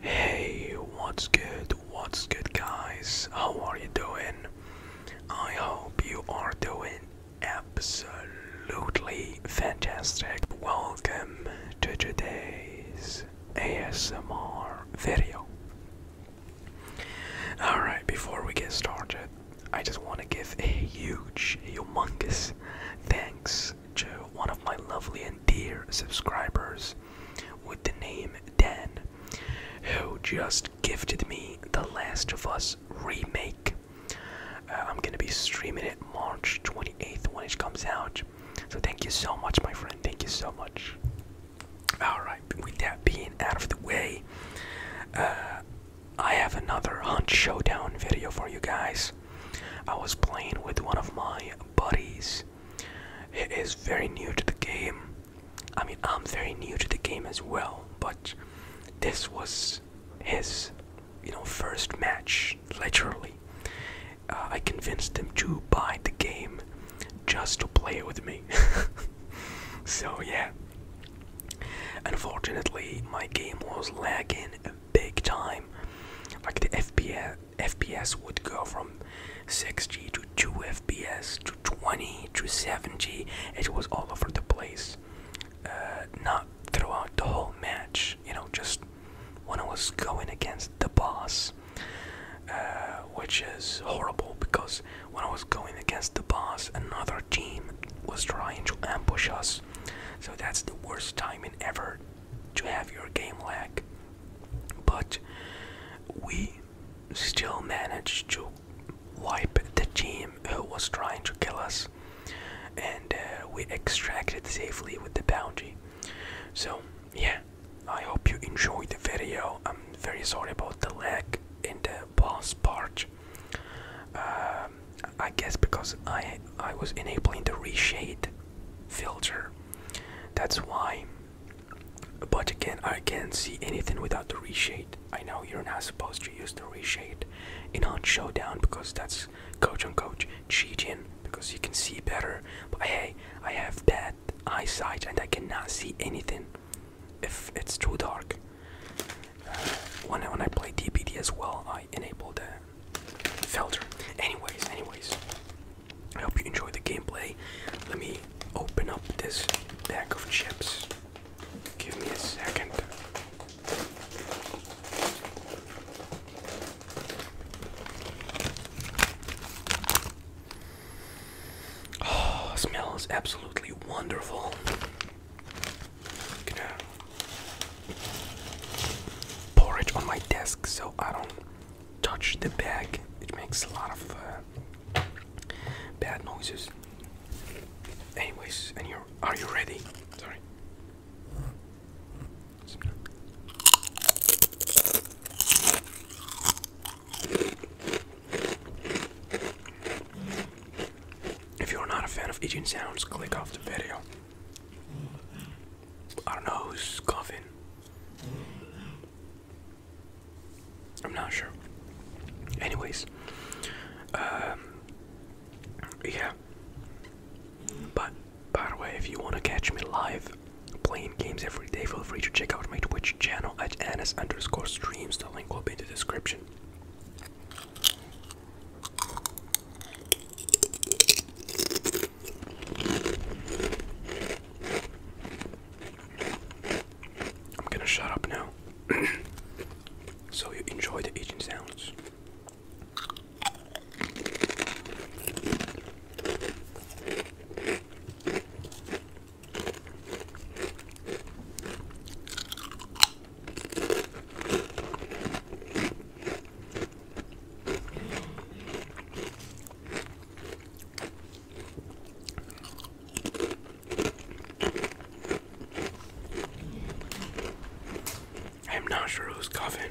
Hey, what's good? What's good, guys? How are you doing? I hope you are doing absolutely fantastic. Welcome to today's ASMR video. Alright, before we get started, I just want to give a huge, humongous thanks to one of my lovely and dear subscribers with the name Dan, who just gifted me The Last of Us Remake. Uh, I'm gonna be streaming it March 28th when it comes out. So thank you so much, my friend. Thank you so much. Alright, with that being out of the way, uh, I have another Hunt Showdown video for you guys. I was playing with one of my buddies. He is very new to the game. I mean, I'm very new to the game as well, but this was his, you know, first match, literally. Uh, I convinced him to buy the game just to play it with me. so, yeah. Unfortunately, my game was lagging big time. Like the FPS, FPS would go from 6G to 2 FPS to 20 to 7G. It was all over the place. Uh, not throughout the whole match, you know, just when I was going against the boss, uh, which is horrible because when I was going against the boss, another team was trying to ambush us. So that's the worst timing ever to have your game lag, but we still managed to wipe the team who was trying to kill us, and uh, we extracted safely with the bounty. So yeah, I hope you enjoyed the video. I'm very sorry about the lag in the boss part. Uh, I guess because I I was enabling the reshade filter. That's why. But again, I can't see anything without the reshade. I know you're not supposed to use the reshade in on showdown because that's coach on coach cheating because you can see better. But hey, I have bad eyesight and I cannot see anything if it's too dark. Uh, when, when I play DBD as well, I enable the Felder. Anyways, anyways. I hope you enjoy the gameplay. Let me open up this bag of chips. Give me a second. Oh, smells absolutely wonderful i gonna pour it on my desk so I don't touch the bag. It makes a lot of uh, bad noises. Anyways, are you ready? Sorry. If you're not a fan of eating sounds, click off the video. I don't know who's coughing. I'm not sure. Anyways, um, yeah. But by the way, if you want to catch me live playing games every day, feel free to check out my Twitch channel at ns underscore streams. The link will be in the description. I'm gonna shut up now. so you enjoy the aging sounds. I'm not sure who's coughing.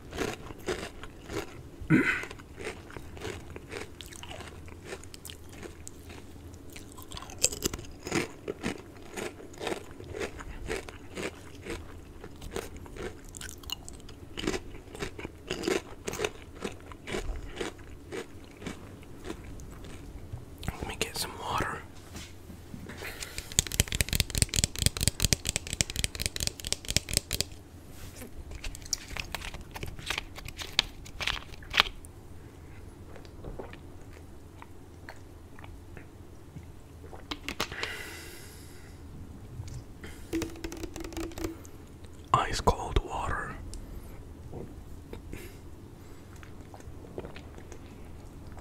Let me get some water. Ice cold water.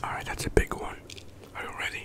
All right, that's a big one. Are you ready?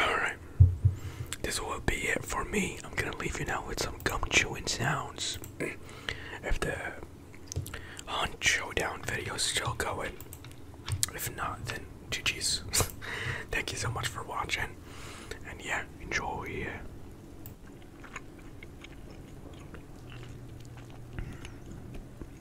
Alright. This will be it for me. I'm gonna leave you now with some gum chewing sounds. if the Hunt Showdown video is still going. If not, then GG's. Thank you so much for watching. And yeah, enjoy.